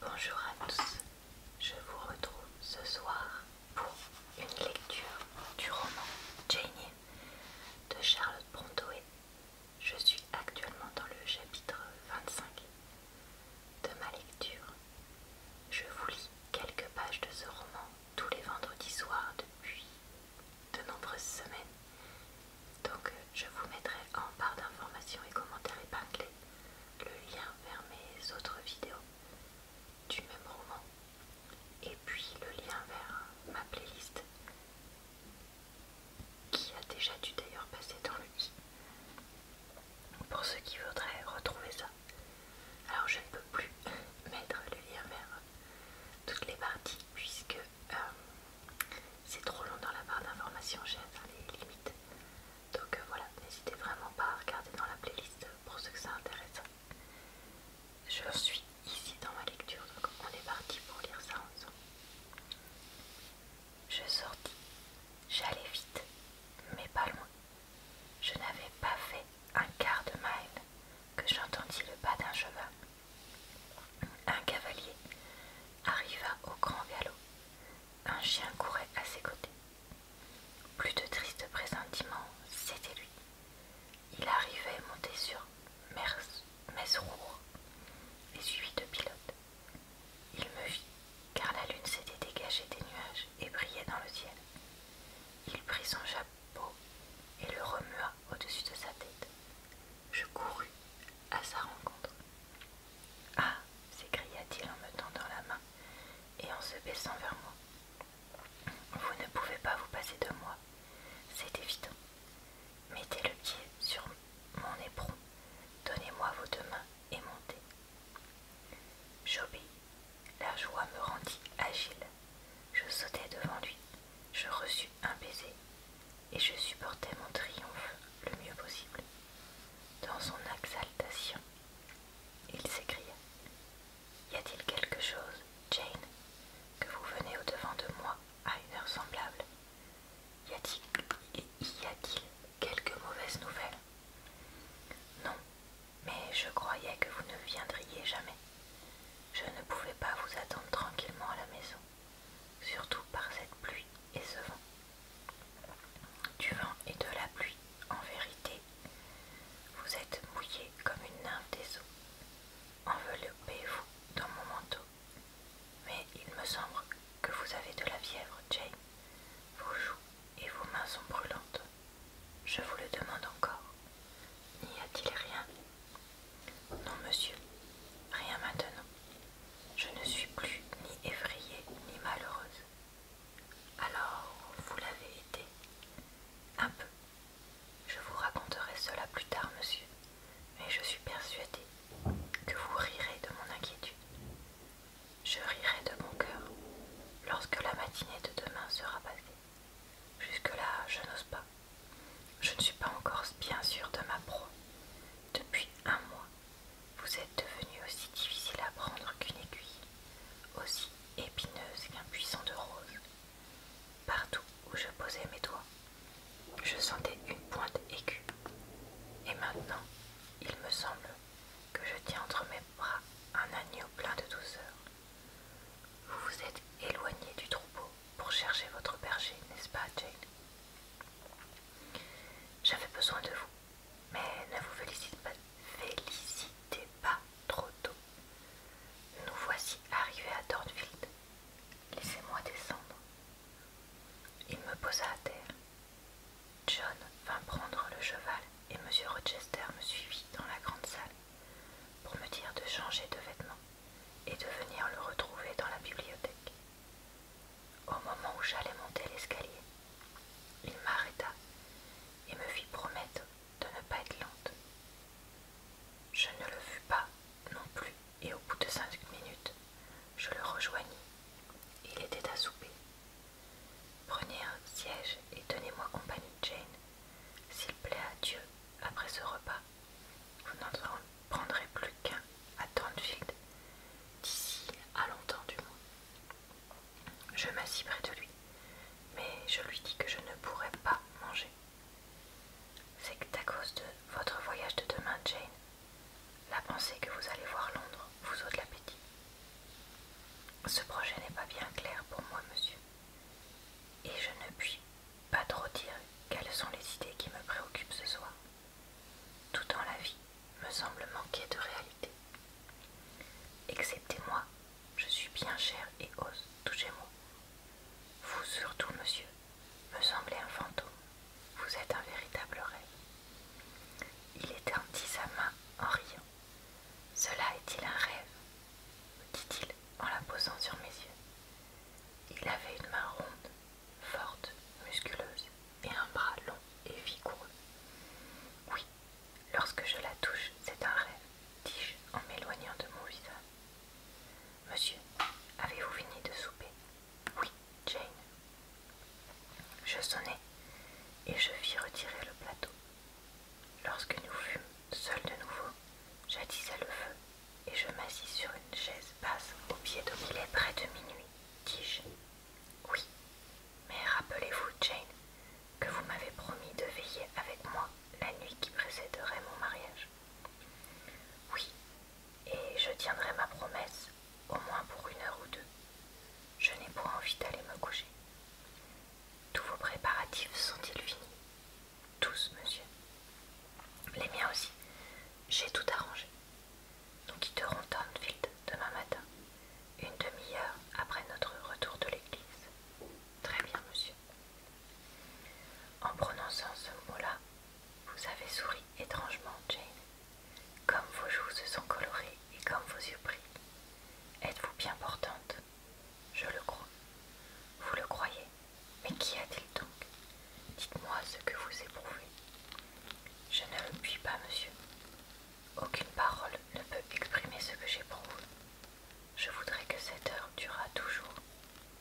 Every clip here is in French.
Bonjour à tous, je vous retrouve ce soir pour une lecture du roman Jane de Charlotte Brontë. Je suis actuellement dans le chapitre 25 de ma lecture. Je vous lis quelques pages de ce roman tous les vendredis soirs depuis de nombreuses semaines. Donc je vous mettrai en barre d'informations et commentaires épinglés le lien vers mes autres vidéos du même roman et puis le lien vers ma playlist qui a déjà dû d'ailleurs passer dans le i pour ceux qui voudraient retrouver ça. Alors je ne peux plus mettre le lien vers toutes les parties puisque euh, c'est trop long dans la barre d'informations, j'ai atteint les limites. Donc euh, voilà, n'hésitez vraiment pas à regarder dans la playlist pour ceux que ça intéresse. Je suis ici dans ma lecture, donc on est parti pour lire ça ensemble. Je sortis. J'allais vite, mais pas loin. Je n'avais pas fait un quart de mile que j'entendis le pas d'un cheval. Un cavalier arriva au grand galop, un chien courait à ses côtés. Plus de tristes pressentiments, c'était lui. Il arrivait monté sur Mesrour et suivi de pilote. Il me vit, car la lune s'était dégagée des nuages et brillait dans le ciel. Il prit son chapeau et le remua au-dessus de sa tête. Je courus à sa rencontre. Ah s'écria-t-il en me tendant la main et en se baissant vers moi. Vous ne pouvez pas vous passer de moi, c'est évident. Mettez le pied sur mon éperon, donnez-moi vos deux mains et montez. J'obéis. La joie me rendit agile. Je sautai devant lui. Je reçus un baiser et je supportais mon triomphe le mieux possible. Dans son exaltation, il s'écria Y a-t-il quelque chose, Jane, que vous venez au-devant de moi à une heure semblable Y a-t-il quelque mauvaise nouvelle Non, mais je croyais que vous ne viendriez jamais. Je ne pouvais pas vous attendre tranquillement à la maison surtout par cette pluie et ce vent. Du vent et de la pluie, en vérité, vous êtes mouillé comme une nymphe des eaux. Enveloppez-vous dans mon manteau. Mais il me semble que vous avez de la fièvre, Jane. Vos joues et vos mains sont brûlantes. Je vous le demande encore. N'y a-t-il rien Non, monsieur. Rien maintenant. Je ne suis plus ni effrayée ni malheureuse. Alors, vous l'avez été. Un peu. Je vous raconterai cela plus tard, monsieur, mais je suis persuadée que vous rirez de mon inquiétude. Je rirai de mon cœur lorsque la matinée de demain sera passée. Jusque-là, je n'ose pas. Je ne suis pas encore bien sûre de ma proie. Depuis un mois, vous êtes devenu aussi difficile à prendre qu'une aiguille, aussi épineuse qu'un puissant de rose. Partout où je posais mes doigts, je sentais une pointe aiguë. Et maintenant, il me semble que je tiens entre mes bras un agneau plein de douceur. Vous vous êtes éloigné du troupeau pour chercher votre berger, n'est-ce pas, Jane j'avais besoin de vous, mais ne vous félicitez pas trop tôt. Nous voici arrivés à Dornfield. Laissez-moi descendre. Il me posa à terre. John vint prendre le cheval et M. Rochester me suivit dans la grande salle pour me dire de changer de vêtements et de venir le retrouver dans la bibliothèque. Au moment où j'allais monter l'escalier, il m'arrêta et me fit promettre de ne pas être lente. Je ne le fus pas non plus et au bout de cinq minutes, je le rejoignis. Il était à souper. Prenez un siège et tenez-moi compagnie, de Jane. S'il plaît à Dieu, après ce repas, vous n'en prendrez plus qu'un à Thornfield d'ici à longtemps du moins. Je m'assis près de lui, mais je lui dis que je ne pourrai pas manger. C'est à cause de votre voyage de demain, Jane. La pensée que vous allez voir Londres vous ôte l'appétit. Ce projet n'est pas bien clair pour moi, monsieur, et je ne puis pas trop dire quelles sont les idées qui me préoccupent ce soir. Tout dans la vie me semble manquer de réalité. Exceptez moi, je suis bien chère et ose toucher moi. Vous surtout, monsieur, me semblez un fantôme. Vous êtes un véritable rêve. Il étendit sa main en riant. Cela est-il un rêve Me dit-il en la posant sur mes yeux. Il avait une main ronde, forte, musculeuse et un bras long et vigoureux. Oui, lorsque je la touche, c'est un rêve, dis-je en m'éloignant de mon visage. Monsieur, avez-vous fini de souper Oui, Jane. Je sonnai et je fis retirer le plateau. Lorsque nous fûmes seuls de nouveau, à le feu et je m'assis sur une chaise basse au pied de Il est près de minuit, dis-je. Oui, mais rappelez-vous, Jane, que vous m'avez promis de veiller avec moi la nuit qui précéderait mon mariage. Oui, et je tiendrai ma promesse, au moins pour une heure ou deux. Je n'ai point envie d'aller me coucher. Tous vos préparatifs sont-ils finis tous, monsieur. Les miens aussi. J'ai tout arrangé. Nous quitterons Thornfield demain matin, une demi-heure après notre retour de l'église. Très bien, monsieur. En prononçant ce mot-là, vous avez souri étrangement, Jane. Comme vos joues se sont colorées et comme vos yeux brillent. Êtes-vous bien portante Je le crois. Vous le croyez mais qu'y a-t-il donc Dites-moi ce que vous éprouvez. Je ne le puis pas, monsieur. Aucune parole ne peut exprimer ce que j'éprouve. Je voudrais que cette heure durât toujours.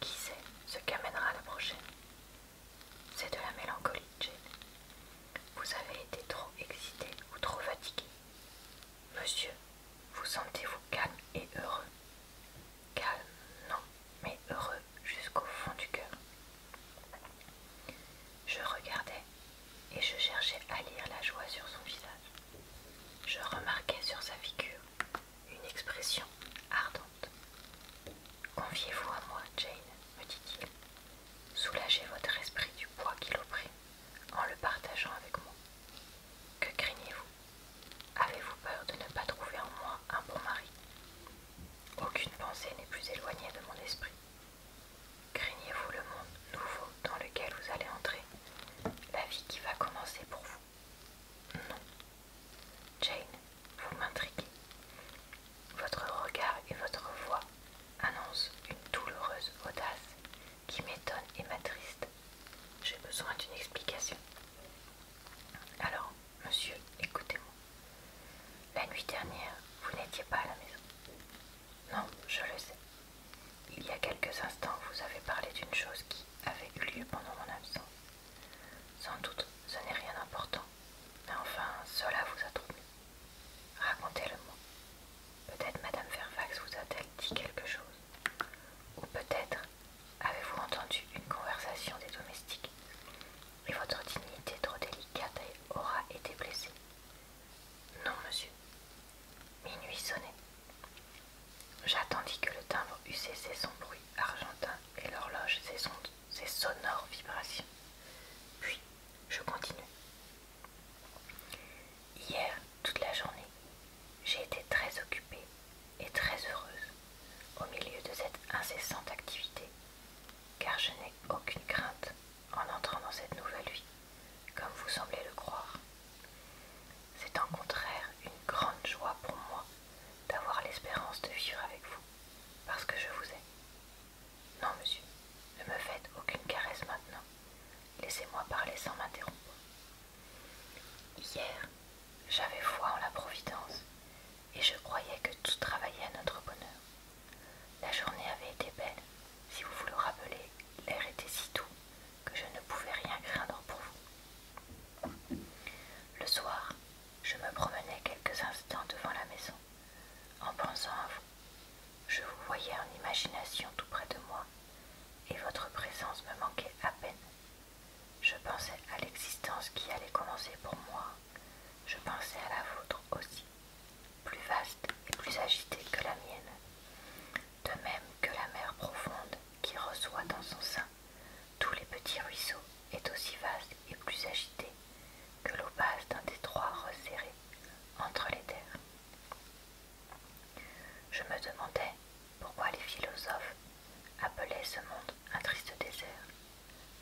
Qui sait ce qu'amènera la prochaine C'est de la mélancolie, Jane. Vous avez été trop excité ou trop fatigué. Monsieur, vous sentez-vous calme et heureux Calme, non mais heureux jusqu'au fond du cœur. Je regardais et je cherchais à lire la joie sur son visage. Je remarquais sur sa figure une expression ardente. Confiez-vous à moi, Jane, me dit-il. Soulagez votre esprit du poids qui l'opprime en le partageant avec moi. Que craignez-vous Avez-vous peur de ne pas trouver en moi un bon mari Aucune pensée n'est plus éloignée de mon esprit. Craignez-vous le monde nouveau dans lequel vous allez entrer La vie qui va commencer pour vous Non. Jane, vous m'intriguez. Votre regard et votre voix annoncent une douloureuse audace qui m'étonne et m'attriste. J'ai besoin d'une explication. Alors, Monsieur, écoutez-moi. La nuit dernière, vous n'étiez pas à la maison. Non, je le sais. Il y a quelques instants, vous avez parlé d'une chose qui avait eu lieu pendant mon absence. Sans doute, ce n'est rien d'important. Mais enfin, cela vous a troublé. Racontez-le-moi. Peut-être Madame Fairfax vous a-t-elle dit quelque chose. Ou peut-être Avez-vous entendu une conversation des domestiques Et votre dignité trop délicate aura été blessée Non, monsieur. Minuit sonnait. J'attendis que le timbre eût cessé son bruit argentin et l'horloge ses, ses sonores vibrations. Puis, je continue. Hier, toute la journée, j'ai été très occupée et très heureuse au milieu de cette incessante activité, car je n'ai aucune crainte en entrant dans cette nouvelle vie, comme vous semblez le croire. C'est en contraire une grande joie pour moi d'avoir l'espérance de vivre avec vous, parce que je vous ai. Non, monsieur, ne me faites aucune caresse maintenant. Laissez-moi parler sans m'interrompre. Hier, j'avais foi en la Providence et je croyais que tout travaillait à notre bonheur. La journée avait été belle, si vous vous le rappelez, l'air était si doux que je ne pouvais rien craindre pour vous. Le soir, je me promenais quelques instants devant la maison, en pensant à vous. Je vous voyais en imagination tout près de moi, et votre présence me manquait à peine je pensais à l'existence qui allait commencer pour moi. Je pensais à la vôtre aussi, plus vaste et plus agitée que la mienne. De même que la mer profonde qui reçoit dans son sein tous les petits ruisseaux est aussi vaste et plus agitée que l'eau basse d'un détroit resserré entre les terres. Je me demandais pourquoi les philosophes appelaient ce monde un triste désert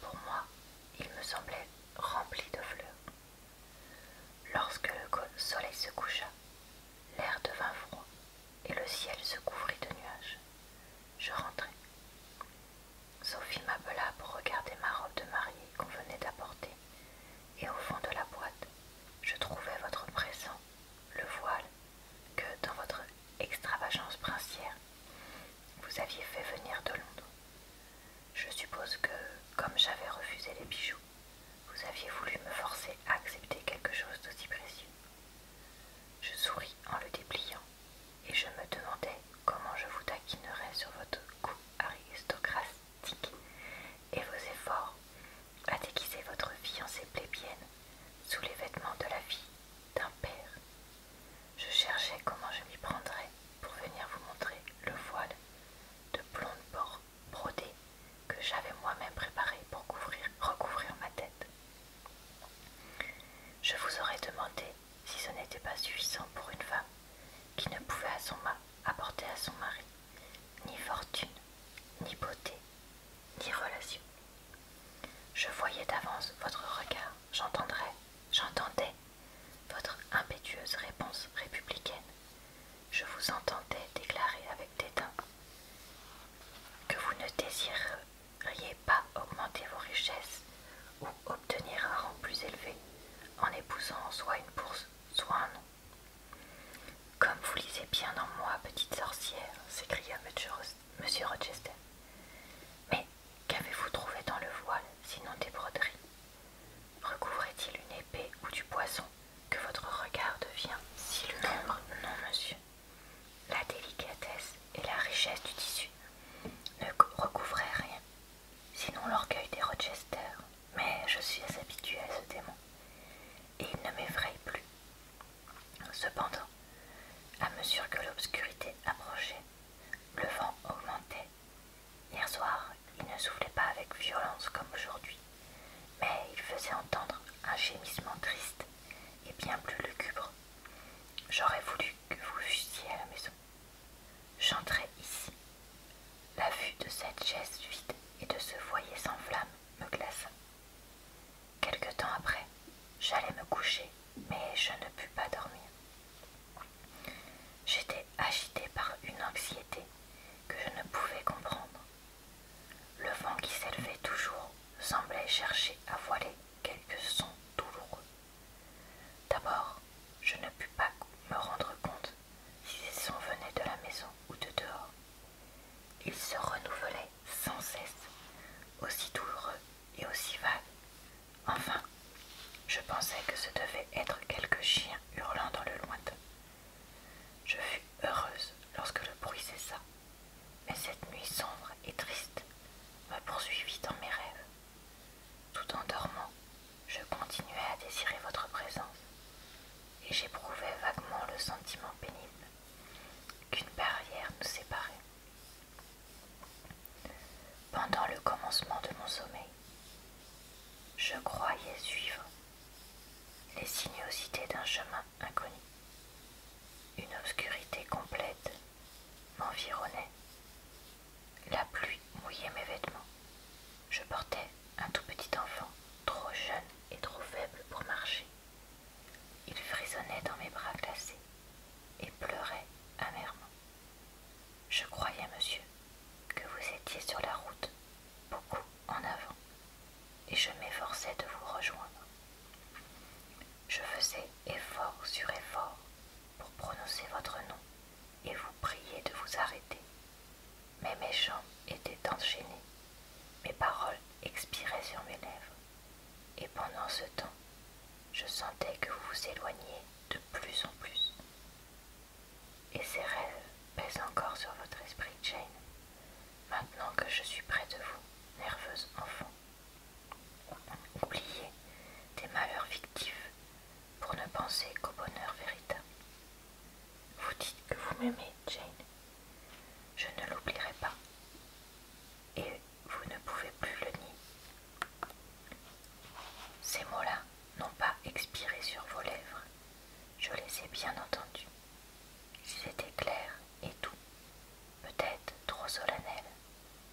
Pour moi, il me semblait rempli de fleurs. Lorsque le soleil se coucha, l'air devint froid et le ciel se couvrit de nuages. Je rentrai. Sophie m'appela pour regarder ma robe de mariée qu'on venait d'apporter, et au fond de la boîte, je trouvais votre présent, le voile que dans votre extravagance princière, vous aviez fait venir de Londres. Je suppose que, comme j'avais refusé les bijoux, vous aviez voulu me forcer à accepter quelque chose d'aussi précieux. Je souris en le dépliant et je me demandais comment je vous taquinerais sur votre goût aristocratique et vos efforts à déguiser votre fiancée plébienne sous les vêtements de la vie d'un père. Je cherchais comment je m'y prendrais pour venir vous montrer le voile de blonde bord brodé que j'avais moi-même préparé pour couvrir, recouvrir ma tête. Je vous aurais demandé si ce n'était pas suffisant pour une femme qui ne pouvait à son apporter à son mari ni fortune, ni beauté, ni relation. Je voyais d'avance votre regard, j'entendrais, j'entendais votre impétueuse réponse républicaine. Je vous entendais déclarer avec dédain que vous ne désireriez pas augmenter vos richesses ou obtenir un rang plus élevé en épousant soit une bourse, soit un nom. Comme vous lisez bien en moi, petite sorcière, s'écria Monsieur Rochester. Mais qu'avez-vous trouvé dans le voile, sinon des broderies Recouvrait-il une épée ou du poisson que votre regard devient si lugubre non, monsieur. La délicatesse et la richesse du tissu ne recouvraient rien, sinon l'orgueil des Rochester. Mais je suis habituée à ce démon et il ne m'effraie plus. Cependant, à mesure que l'obscurité approchait, le vent augmentait. Hier soir, il ne soufflait pas avec violence comme aujourd'hui, mais il faisait entendre un gémissement triste et bien plus lugubre. J'aurais voulu que vous fussiez à la maison. J'entrais ici. La vue de cette chaise vide et de ce foyer sans flamme me glaça. Quelque temps après, j'allais me coucher, mais je ne pus pas dormir. J'étais agitée par une anxiété que je ne pouvais comprendre. Le vent qui s'élevait toujours semblait chercher à voiler quelques sons douloureux. D'abord, je ne pus pas me rendre compte si ces sons venaient de la maison ou de dehors, il se renouvelait sans cesse, aussi douloureux et aussi vague. Enfin, je pensais que ce devait être quelque chien hurlant dans le lointain. Je fus heureuse lorsque le bruit cessa, mais cette nuit sombre et triste me poursuivit dans mes rêves. Tout en dormant, je continuais à désirer votre présence, et j'éprouvais vaguement le sentiment pénible qu'une barrière nous séparait. Pendant le commencement de mon sommeil, je croyais suivre les sinuosités d'un chemin inconnu. Une obscurité complète m'environnait. La pluie mouillait mes vêtements. Je portais un tout petit enfant, trop jeune et trop faible pour marcher. Il frissonnait dans mes bras glacés et pleurait amèrement. Je croyais, monsieur, que vous étiez sur la route, beaucoup en avant, et je m'efforçais de vous rejoindre. Je faisais effort sur effort pour prononcer votre nom et vous prier de vous arrêter, mes méchants étaient enchaînés, mes paroles expiraient sur mes lèvres, et pendant ce temps, je sentais que vous vous éloigniez de plus en plus. Et ces rêves pèsent encore sur votre esprit, Jane, maintenant que je suis près de vous, nerveuse enfant. Oubliez des malheurs fictifs pour ne penser qu'au bonheur véritable. Vous dites que vous m'aimez, Jane. Je ne l'oublierai pas. Et vous ne pouvez plus le nier. Ces mots-là n'ont pas expiré sur vos lèvres. Je les ai bien entendus. Ils étaient clairs et doux, peut-être trop solennel,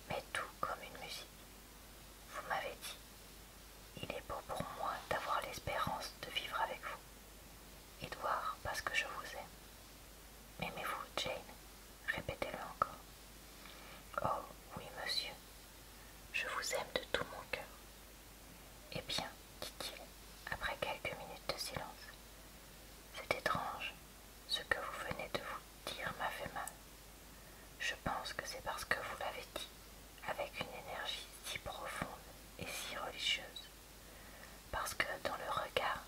mais tout comme une musique. Vous m'avez dit, il est beau pour moi d'avoir l'espérance de vivre avec vous. Edouard, parce que je vous aime. Aimez-vous, Jane Répétez-le encore. Oh, oui, monsieur. Je vous aime de tout mon cœur. Eh bien, dit-il, après quelques minutes de silence, c'est étrange. Ce que vous venez de vous dire m'a fait mal. Je pense que c'est parce que vous l'avez dit avec une énergie si profonde et si religieuse parce que dans le regard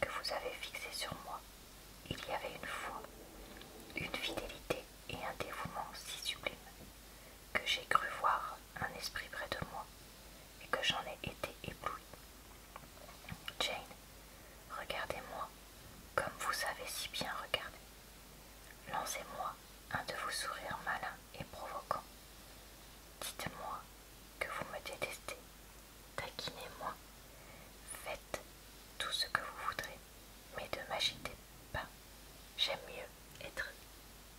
que vous avez fixé sur moi, il y avait une foi, une fidélité et un dévouement si sublimes, que j'ai cru voir un esprit près de moi et que j'en ai été ébloui. Jane, regardez-moi comme vous savez si bien regarder. Lancez-moi un de vos sourires malins et provoquant. Dites-moi que vous me détestez, taquinez-moi, faites tout ce que vous voudrez, mais ne m'agitez pas. J'aime mieux être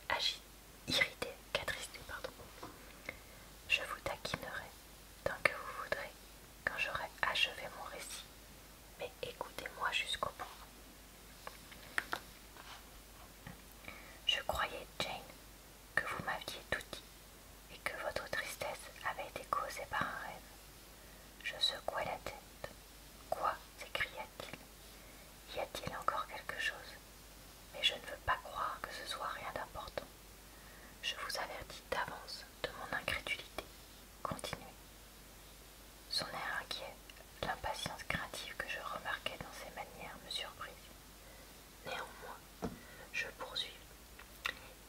agi irrité qu'attristé, pardon. Je vous taquinerai tant que vous voudrez, quand j'aurai achevé mon récit, mais écoutez-moi jusqu'au bout. Je croyais, Jane, que vous m'aviez tout dit et que votre tristesse avait été causée par un rêve. Je secouai la tête. Quoi s'écria-t-il. Y a-t-il encore quelque chose Mais je ne veux pas croire que ce soit rien d'important. Je vous avertis d'avance de mon incrédulité. Continuez. Son air inquiet L'impatience créative que je remarquais dans ses manières me surprit. Néanmoins, je poursuis.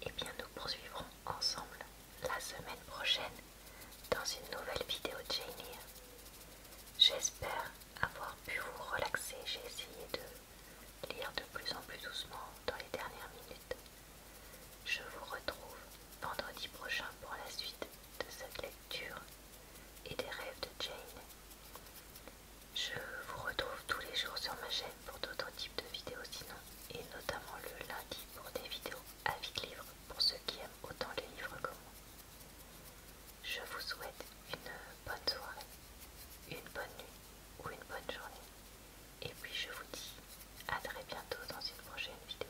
Eh bien, nous poursuivrons ensemble la semaine prochaine dans une nouvelle vidéo de J'espère avoir pu vous relaxer. J'ai essayé de lire de plus en plus doucement dans les dernières minutes. Je vous retrouve vendredi prochain pour la suite de cette lecture et des rêves de Jane. Je vous retrouve tous les jours sur ma chaîne pour d'autres types de vidéos sinon, et notamment le lundi pour des vidéos avis de livres pour ceux qui aiment autant les livres que moi. Je vous souhaite une bonne soirée, une bonne nuit ou une bonne journée. Et puis je vous dis à très bientôt dans une prochaine vidéo.